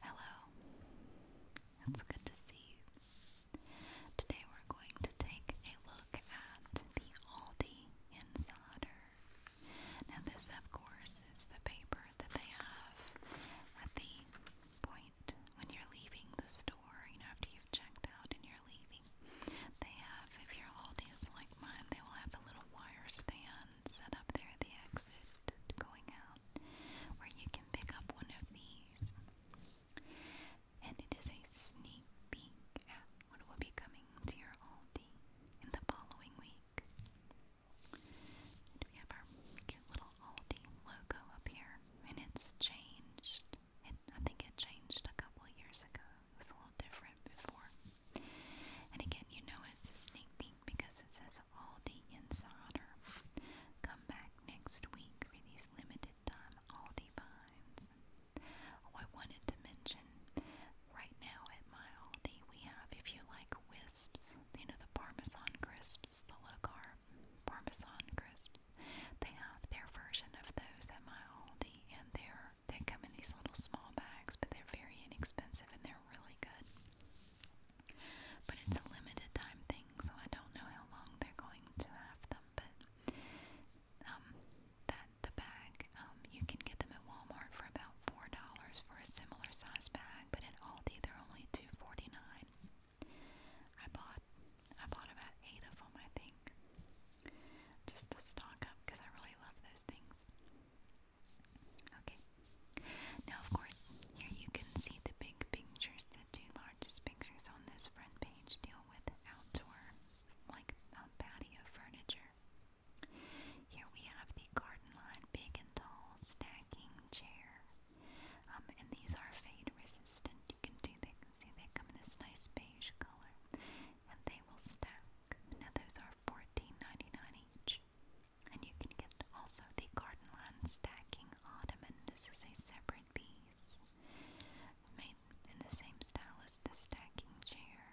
Hello, it's good to see you. Today we're going to take a look at the Aldi Insider. Now, this, of course, is the paper that they have at the point when you're leaving the store, you know, after you've checked out and you're leaving. They have, if your Aldi is like mine, they will have a little wire stand set up there at the exit going out, where you can pick up one of these. And it is a sneak peek at what will be coming to your Aldi in the following week. we have our cute little Aldi logo up here, and it's changed. I think it changed a couple years ago. It was a little different before. And again, you know it's a sneak peek because it says all the insider. Come back next week for these limited time Aldi finds. Oh, I wanted to mention right now at my Aldi we have, if you like wisps, you know the Parmesan crisps, the low carb Parmesan crisps. They have their version of those at my Aldi, and their. They come in these little small bags, but they're very inexpensive and they're really good. But it's a limited time thing, so I don't know how long they're going to have them. But um, that the bag, um, you can get them at Walmart for about four dollars for a similar size bag, but at Aldi they're only two forty nine. I bought I bought about eight of them, I think, just to stock up because I really love those things. Okay. Now, of course, here you can see the big pictures. The two largest pictures on this front page deal with outdoor, like uh, patio furniture. Here we have the garden line big and tall stacking chair. Um, and these are fade resistant. You can do they can see they come in this nice beige color. And they will stack. Now those are $14.99 each. And you can get also the garden land stacking ottoman. This is a separate piece made in the same style as the stacking chair.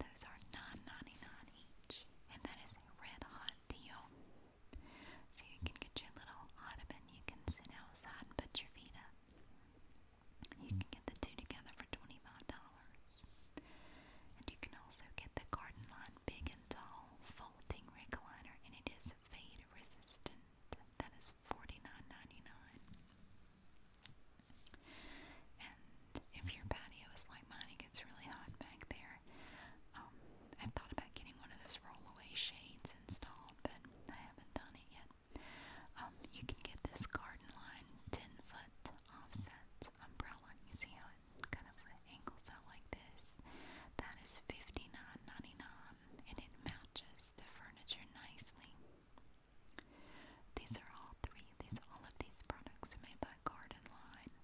Those are 9 each, and that is a red hot deal. So you can get your little ottoman, you can sit outside and put your feet up. You can get the two together for $25 and you can also get the Garden Line Big and Tall Folding Rig Liner, and it is fade resistant. That is $49.99. And if your patio is like mine, it gets really hot back there. Um, I've thought about getting one of those rollaway shades installed, but I haven't done it yet. Um, you can get this garden line 10 foot offset its umbrella. You see how it kind of angles out like this? That is $59.99 and it matches the furniture nicely. These are all three, these all of these products are made by Garden Line.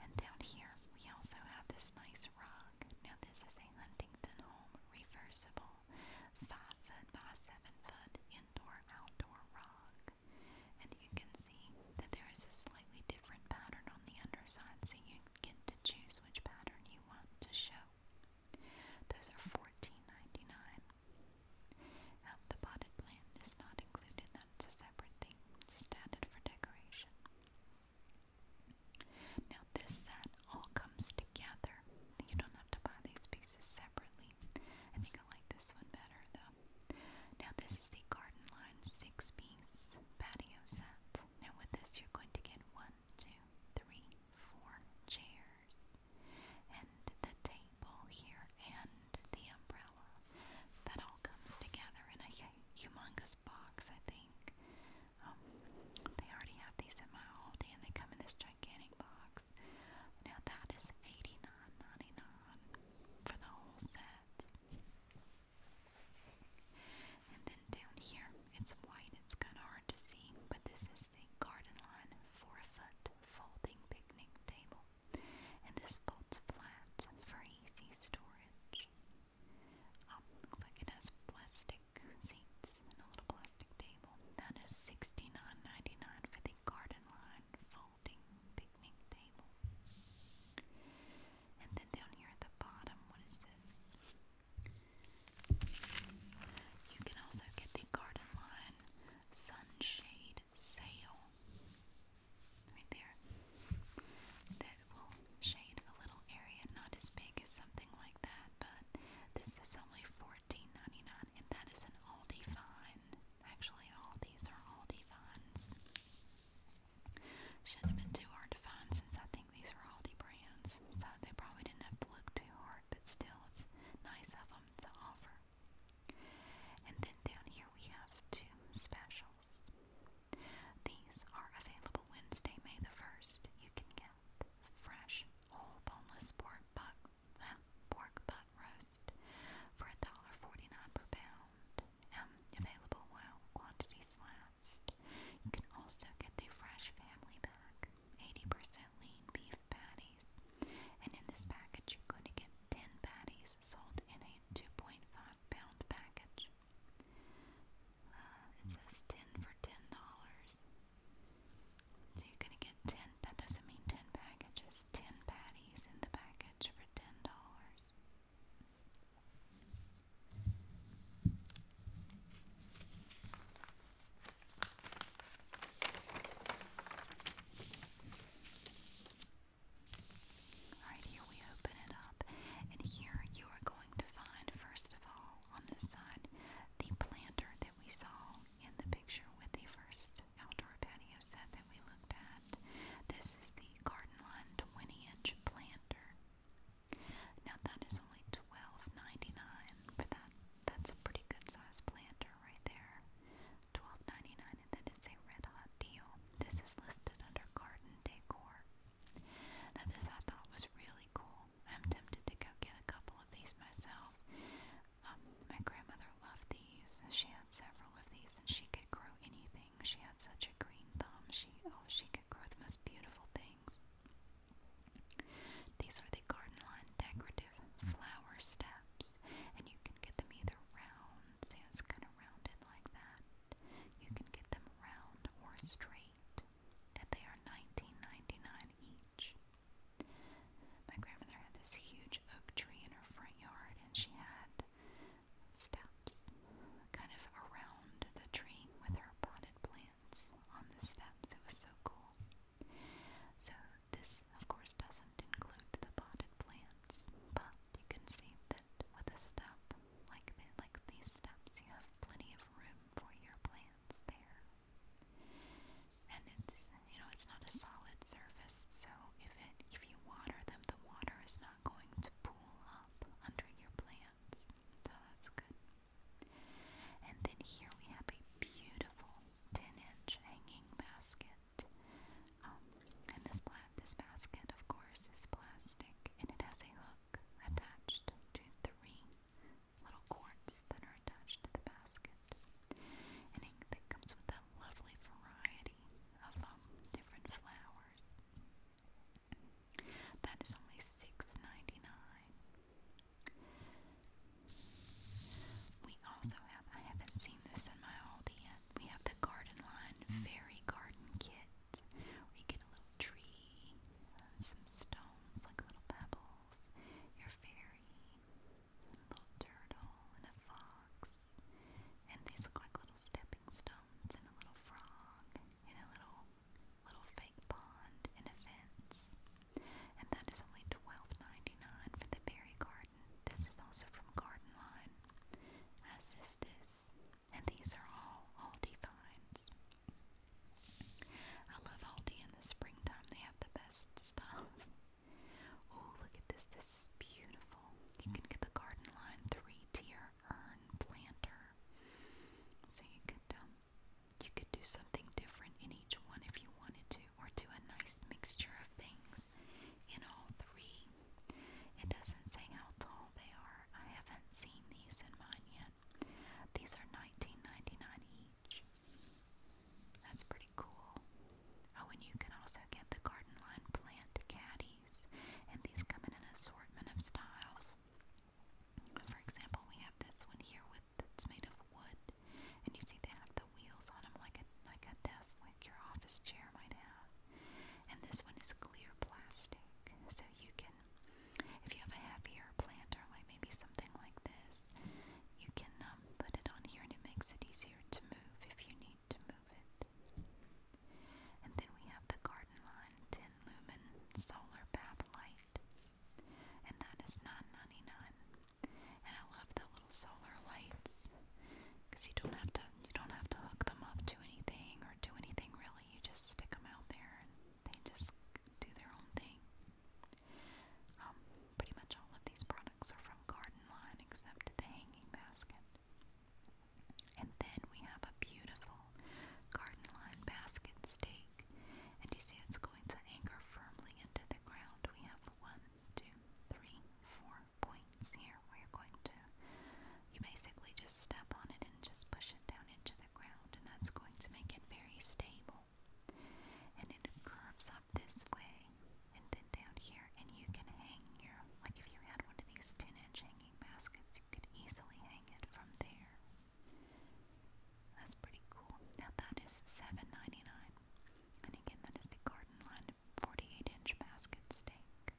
And down here we also have this nice rug. Now this is a Huntington Home reversible five foot by seven foot indoor outdoor rug. And you can see that there is a slightly different pattern on the underside, so you get to choose which pattern you want to show. Those are $14.99. Now, the potted plant is not included, that's a separate thing. It's just for decoration. Now, this set all comes together. You don't have to buy these pieces separately. I think I like this one better, though. Now this is the garden line six piece patio set. Now with this you're going to get one, two, three, four chairs and the table here and the umbrella. That all comes together in a humongous box, I think. Um, they already have these at my Aldi and they come in this gigantic box. Now that for the whole set. And then down here, it's white, it's kind of hard to see, but this is the garden line four foot folding picnic table. And this folds flat for easy storage. Um, looks like it has plastic seats and a little plastic table. That is $69.99 for the garden line full and then down here at the bottom, what is this? You can also get the Garden Line Sunshade Sail right there that will shade a little area, not as big as something like that, but this is only $14.99 and that is an Aldi find. Actually, all these are all Vines. Shouldn't have been too hard to find since I think these are Aldi brands. So they probably didn't have to look too hard, but still, it's nice of them to offer. And then down here we have two specials. These are available Wednesday, May the 1st. You can get fresh, whole boneless pork butt pork butt roast for $1.49 per pound. Um, available while quantities last. You can also get the fresh family pack, 80% lean beef patties. And in this package, you're going to get 10 patties sold in a 2.5 pound package. Uh, it says 10 for $10. So you're going to get 10, that doesn't mean 10 packages, 10 patties patties here we open it up, and here you are going to find, first of all, on this side, the planter that we saw in the picture with the first outdoor patio set that we looked at. This is the Garden Line 20 inch planter. Now that is only 12 dollars that, that's a pretty good size planter right there. 12 and that is a red hot deal. This is listed under garden decor. Now this I thought was really cool. I'm tempted to go get a couple of these myself. Um, my grandmother loved these. She had several of these, and she could grow anything. She had such a green thumb. She oh, she could grow the most beautiful things. These are the garden lawn decorative flower steps, and you can get them either round, see it's kind of rounded like that. You can get them round or straight, That they are 19 each. My grandmother had this huge oak tree in her front yard, and she had steps kind of around the tree with her potted plants on the steps. It was so cool. So, this, of course, doesn't include the potted plants, but you can see that with a step like, the, like these steps, you have plenty of room for your plants there and it's you know it's not a solid surface, so if it if you water them, the water is not going to pool up under your plants. So that's good. And then here we have a beautiful 10-inch hanging basket. Um, and this plant, this basket, of course, is plastic, and it has a hook attached to three little cords that are attached to the basket. And it, comes with a lovely variety of um, different flowers. That is only $6.99. We also have, I haven't seen this in my Aldi yet, we have the Garden Line Fairy Garden Kit, you get a little tree, some stones like little pebbles, your fairy, little turtle and a fox. And these look like little stepping stones and a little frog and a little little fake pond and a fence. And that is only $12.99 for the berry garden. This is also from Garden Line. As is this. And these are all Aldi finds. I love Aldi in the springtime. They have the best stuff. Oh, look at this. This is beautiful. You can get the Garden Line three-tier urn planter. So you could um, you could do something different in each one if you wanted to, or do a nice mixture of things in all three. It doesn't say how tall they are. I haven't seen these in mine yet. These are 19 each. That's pretty cool. Oh, and you can also get the garden line plant caddies, and these come in an assortment of styles. For example, we have this one here with that's made of wood, and you see they have the wheels on them like a like a desk, like your office chair might have. And this one is clear plastic, so you can, if you have a heavier plant or like maybe something like this, you can um, put it on here, and it makes it easier easier to move if you need to move it. And then we have the Garden Line 10 lumen solar bath light, and that is $9.99. And I love the little solar lights because you don't have to you don't have to hook them up to anything or do anything really. You just stick them out there, and they just do their own thing. Um, pretty much all of these products are from Garden Line except the hanging basket. And then we have a beautiful Garden Line basket stake. And you see it's going to anchor firmly into the ground. We have one, two, three, four points here where you're going to you basically just step on it and just push it down into the ground and that's going to make it very stable. And it curves up up this way and then down here, and you can hang your, like if you had one of these 10 inch hanging baskets, you could easily hang it from there. That's pretty cool. Now that is $7.99. And again, that is the garden line 48 inch basket stake.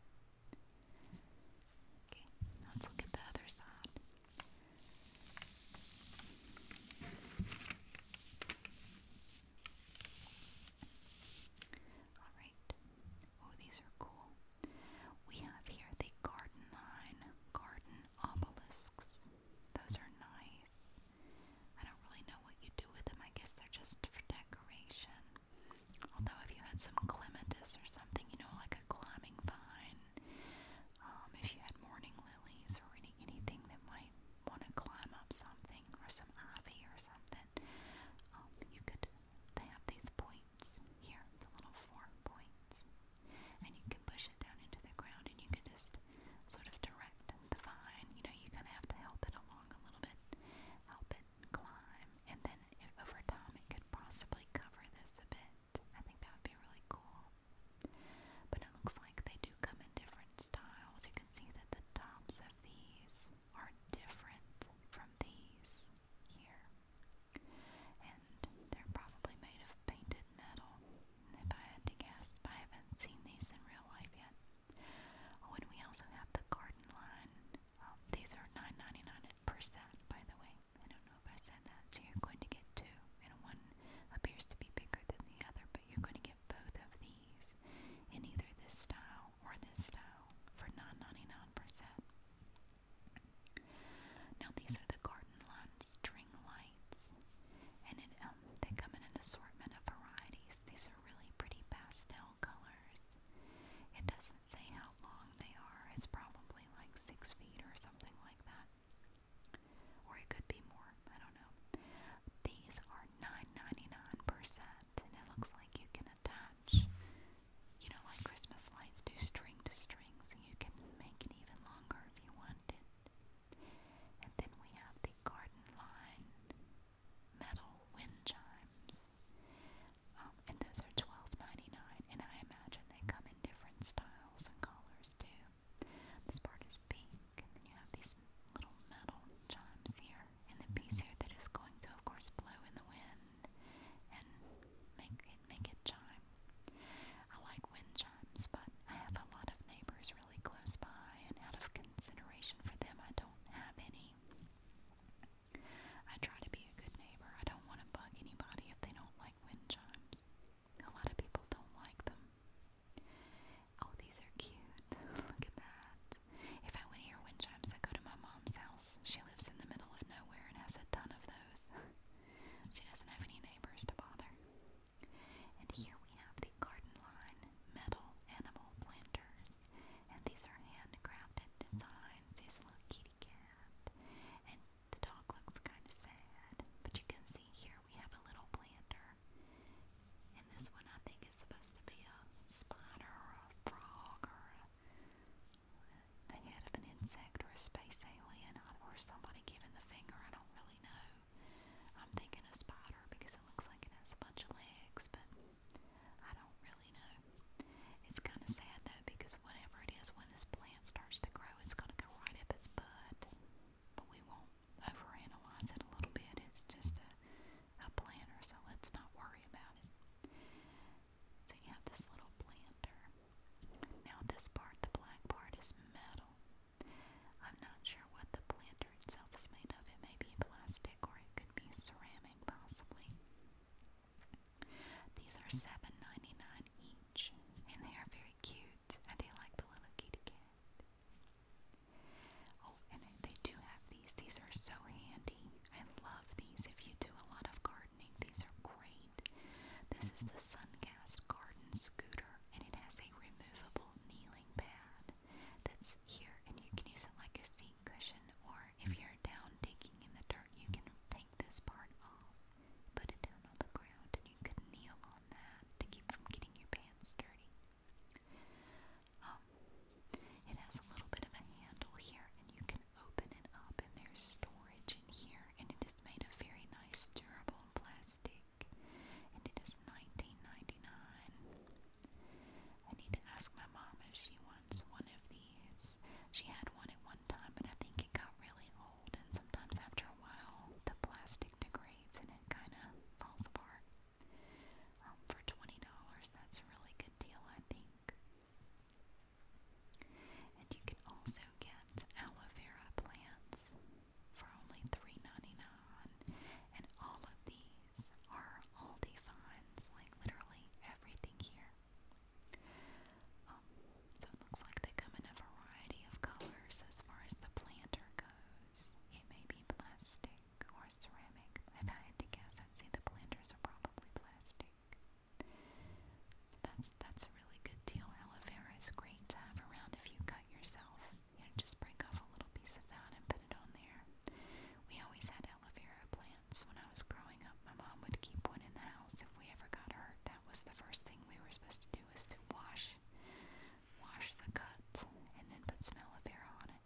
Okay, now let's look at the other side. Alright. Oh, these are cool. We have here the garden line, garden obelisks. Those are nice. I don't really know what you do with them. I guess they're just for decoration. Although, if you had some clematis or something, you know, like a climbing vine, um, if you had morning lilies or any, anything that might want to climb up something or some ivy or something, um, you could, they have these points here, the little four points, and you can push it down into the ground and you can just sort of direct the vine. You know, you kind of have to help it along a little bit, help it climb, and then it, over time it could possibly cover this a bit. I think that would be really cool. But it looks they do come in different styles. You can see that the tops of these are different from these here. And they're probably made of painted metal, if I had to guess. I haven't seen these in real life yet. Oh, we also have the garden line. Um, these are 9 dollars by the way. I don't know if I said that. So you're going to get two, and one appears to be bigger than the other, you're going to get both of these in either this style or this style for 9 Now these are the garden line string lights, and um, they come in an assortment of varieties. These are really pretty pastel colors. It doesn't say how long they are. It's probably like six feet or something like that. Or it could be more. I don't know. These are 9.99%, and it looks like you can attach, you know, like Christmas lights do string to strings, and you can make it even longer if you wanted. And then we have the garden line metal wind chimes, um, and those are twelve ninety nine, and I imagine they come in different styles and colors too. This part is pink. And then you have these little metal chimes here, and the piece here that is going to, of course, blow in the wind and make it make it chime. I like wind chimes, but I have a lot of neighbors really close by, and out of consideration for them, I don't have any. I try to be a good neighbor. I don't want to bug anybody if they don't like wind chimes. A lot of people don't like them. Oh, these are cute. Look at that. If I want to hear wind chimes, I go to my mom's house. She lives in the middle of nowhere and has a ton of those. she doesn't have any neighbors to bother. And here we have the garden line metal animal planters. And these are handcrafted designs. Here's a little kitty cat. And the dog looks kind of sad. But you can see here we have a little planter. And this one I think is supposed to be a spider or a frog or a, the head of an insect or a space alien or somebody giving the finger. I don't really know. I'm thinking a spider because it looks like it has a bunch of legs, but I don't really know. It's kind of sad though because whatever it is, when this plant starts to grow, it's going to go right up its butt. But we won't overanalyze it a little bit. It's just a, planter, so let's not worry about it. So you have this little planter. Now this part, the black part, is metal. I'm not sure what the planter itself is made of. It may be plastic or it could be ceramic, possibly. These are $7.99 each, and they are very cute. I do like the little kitty cat. Oh, and they do have these. These are so handy. I love these. If you do a lot of gardening, these are great. This is mm-hmm. the Suncast Garden Scooter, and it has a removable kneeling pad that's here, and you can use it like a seat cushion, or if mm. you're down digging in the dirt, you can take this part off, put it down on the ground, and you can kneel on that to keep from getting your pants dirty. Um, it has a little bit of a handle here, and you can open it up, and there's storage in here, and it is made of very nice durable plastic, and it I need to ask my mom if she wants one of these. She had one at one time, but I think it got really old, and sometimes after a while, the plastic degrades and it kind of falls apart. Um, for $20, that's a really good deal, I think. And you can also get aloe vera plants for only $3.99. And all of these are Aldi finds, like literally everything here. Um, so it looks like they come in a variety of colors as far as the planter goes. It may be be plastic or ceramic. If I had to guess, I'd say the planters are probably plastic. So that's that's a really good deal. Aloe vera is great to have around if you cut yourself. You know, just break off a little piece of that and put it on there. We always had aloe vera plants when I was growing up. My mom would keep one in the house if we ever got hurt. That was the first thing we were supposed to do was to wash wash the cut, and then put smell of Smellivera on it.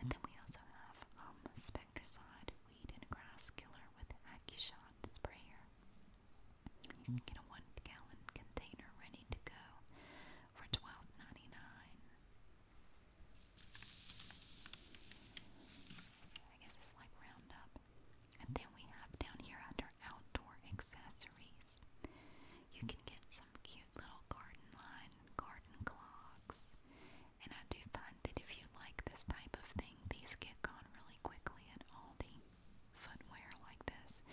And then we also have um, Spectricide Weed and Grass Killer with AccuShot Sprayer. get a one gallon container ready to go for 12 I guess it's like Roundup. And then we have down here under other outdoor accessories. You can get some cute little garden line garden clogs. And I do find that if you like this type of thing, these get gone really quickly at Aldi footwear like this.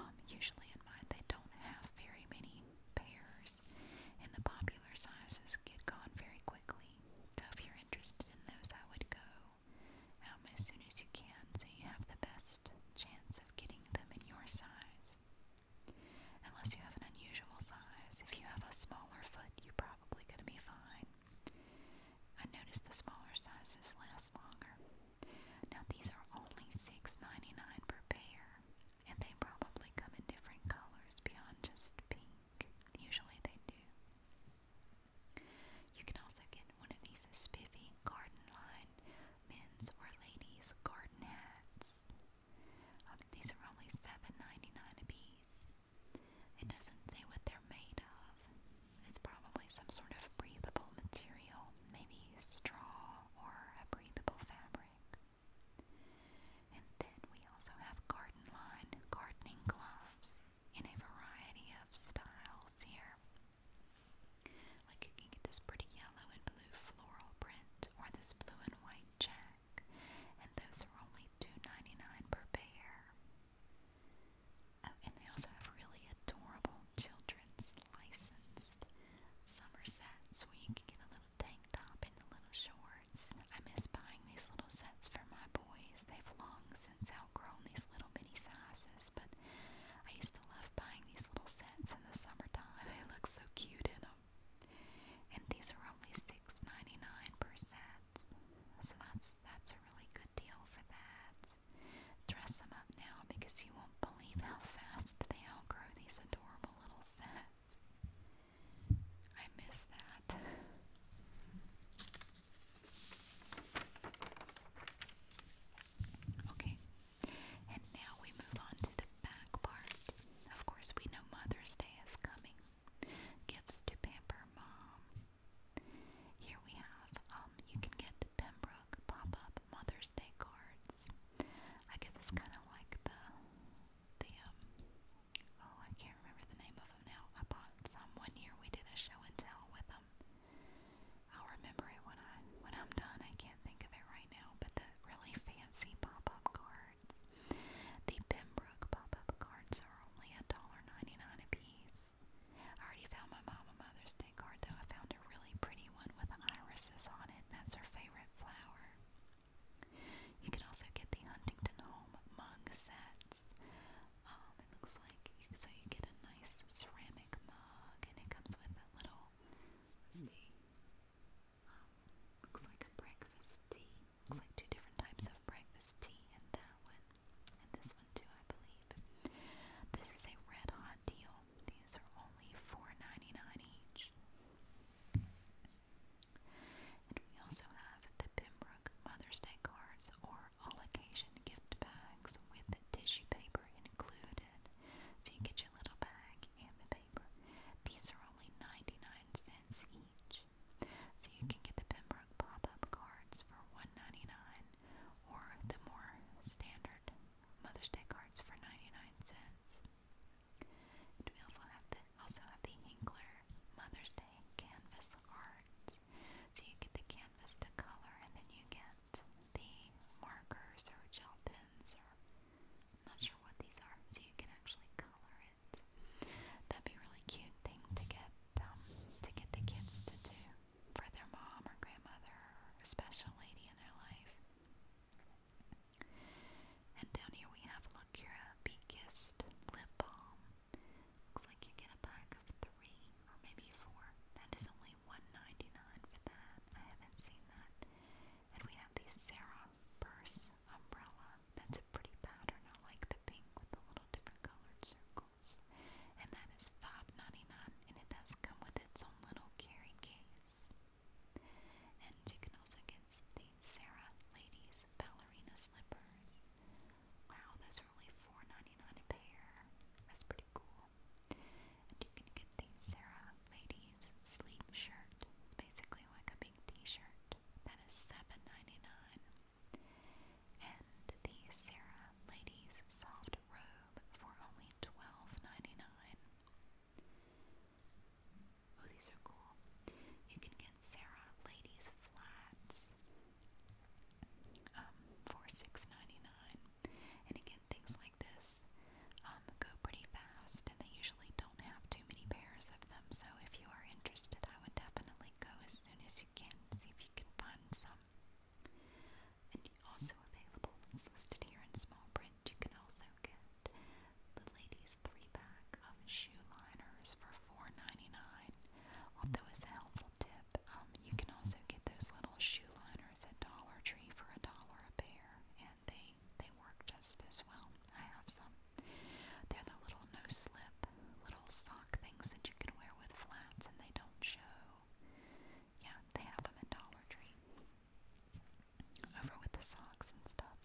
Um, usually in mine, they don't have very many pairs, and the popular sizes get gone very quickly. So if you're interested in those, I would go um, as soon as you can so you have the best chance chance of getting them in your size. Unless you have an unusual size, if you have a smaller foot, you're probably going to be fine. I noticed the smaller sizes last longer. Now, these are only $6.99 per pair, and they probably come in different colors beyond just pink. Usually they do. You can also get one of these spiffy garden line men's or ladies' garden hats. Um, these are only 7 a piece. It doesn't say what they're made of. It's probably some sort of breathable material, maybe straw or a breathable fabric. And then we also have garden line gardening gloves in a variety of styles here. Like you can get this pretty yellow and blue floral print or this blue and white check, and those are only $2.99 per pair. Oh, and they also have really adorable children's licensed summer sets where you can get a little tank top and the little shorts. I miss buying these little sets for my boys. They've long since outgrown these little bitty sizes, but I used to love buying these little sets in the summertime. They look so cute in them. And these are only $6.99 per set. So that's that's a really good deal for that. Dress them up now because you won't believe how fast they outgrow these adorable little sets. I miss that. Okay, and now we move on to the back part. Of course, we know Mother's Day is coming. Gifts to pamper mom. Here we have, um, you can get Pembroke pop-up Mother's Day cards. I guess it's kind of like the, the um, oh I can't remember the name of them now. I bought some one year. We did a show and tell with them. I'll remember it when I when I'm done. I can't think of it right now, but the really fancy pop-up cards. The Pembroke pop-up cards are only $1.99 a piece. I already found my mom a Mother's Day card though. I found a really pretty one with irises on it. That's her favorite flower. You can also get the Huntington Home mug sets. Um, it looks like so you get a nice ceramic ceramic mug, and it comes with a little, let's see, um, looks like a breakfast tea. Looks like two different types of breakfast tea in that one, and this one too, I believe. This is a red hot deal. These are only $4.99 each. And we also have the Pembroke Mother's Day cards or all occasion gift bags with tissue paper included. So you get your little bag and the paper. These are only 99 cents each. So you can get the Pembroke pop-up cards for $1.99 or the more standard Mother's Day cards for 99 cents. we also have the, also have the Hinkler Mother's Day canvas art. So you get the canvas to color and then you get the markers or gel pens or not sure what these are, so you can actually color it. That'd be really cute thing to get um, to get the kids to do for their mom or grandmother or special lady in their life. And down here we have Lacura Be Lip Balm. Looks like you get a pack of three or maybe four. That is only only for that. I haven't seen that. And we have the Sarah Purse umbrella. That's a pretty pattern. I like the pink with the little different colored circles. And that and it does come with its own little carrying case. And you can also get the Sarah Ladies Ballerina Slippers. Wow, those are only 4 a pair. That's pretty cool. And you can get these Sarah Ladies sleep shirt. basically like a big t-shirt. That is $7.99. And the Sarah Ladies soft robe for only $12.99. Oh, these are cool. You can get Sarah Ladies flats um, for $6.99. And again, things like like this um, go pretty fast, and they usually don't have too many pairs of them. So if you are interested, I would definitely go as soon as you can. See if you can find some. And also available, it's listed here in small print. You can also get the ladies' three pack of shoe liners for $4.99. Although it's a helpful tip tip. Um, you can also get those little shoe liners at Dollar Tree for a dollar a pair, and they they work just as well. I have some. They're the little no-slip little sock things that you can wear with flats, and they don't show. Yeah, they have them at Dollar Tree. Over with the socks and stuff.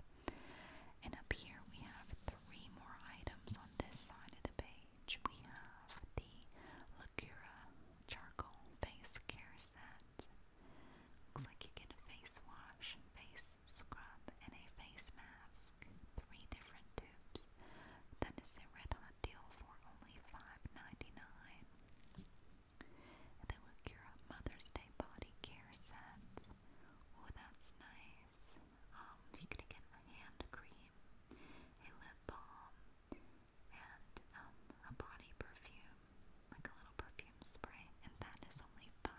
And up here we have three more items on this side of the page. We have the Lacura charcoal face care set. Looks like you get a face wash, face scrub, and a face mask. Three different tubes. That is a red hot deal for only $5.99. And then look, your Mother's Day body care set. Oh, that's nice. Um, you can get a hand cream, a lip balm, and um, a body perfume, like a little perfume spray, and that is only 5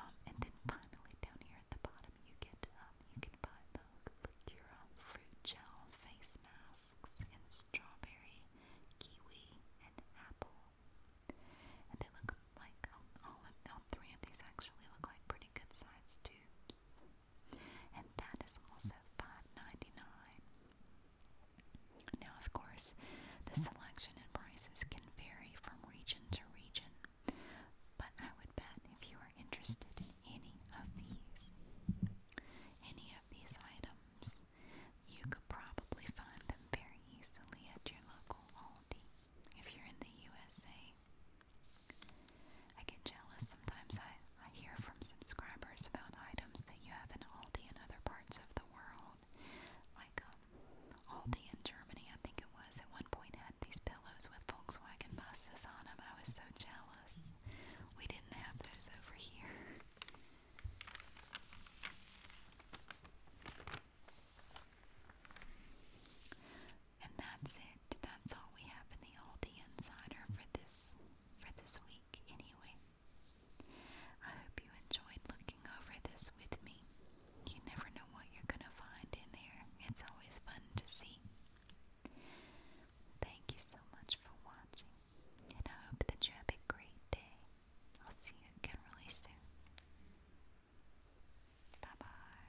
Um, and then finally down here at the bottom, you get um, you can buy the Lacura fruit gel face masks in strawberry, kiwi, and apple. And they look like um, all of all three of these actually look like pretty good sized tubes and that is also $5.99. Now, of course, the selection and prices can vary from region to region, but I would bet if you are interested in any of these, any of these items, you could probably find them very easily at your local Aldi if you're in the USA. I get jealous sometimes. I, I hear from subscribers about items that you have in Aldi and other parts of the world. Like um, Aldi in Germany, I think it was, at one point had these pillows with Volkswagen buses on them. I was so jealous. We didn't have those over here. And that's it. That's all we have in the Oldie Insider for this for this week anyway. I hope you enjoyed looking over this with me. You never know what you're gonna find in there. It's always fun to see. Thank you so much for watching, and I hope that you have a great day. I'll see you again really soon. Bye bye.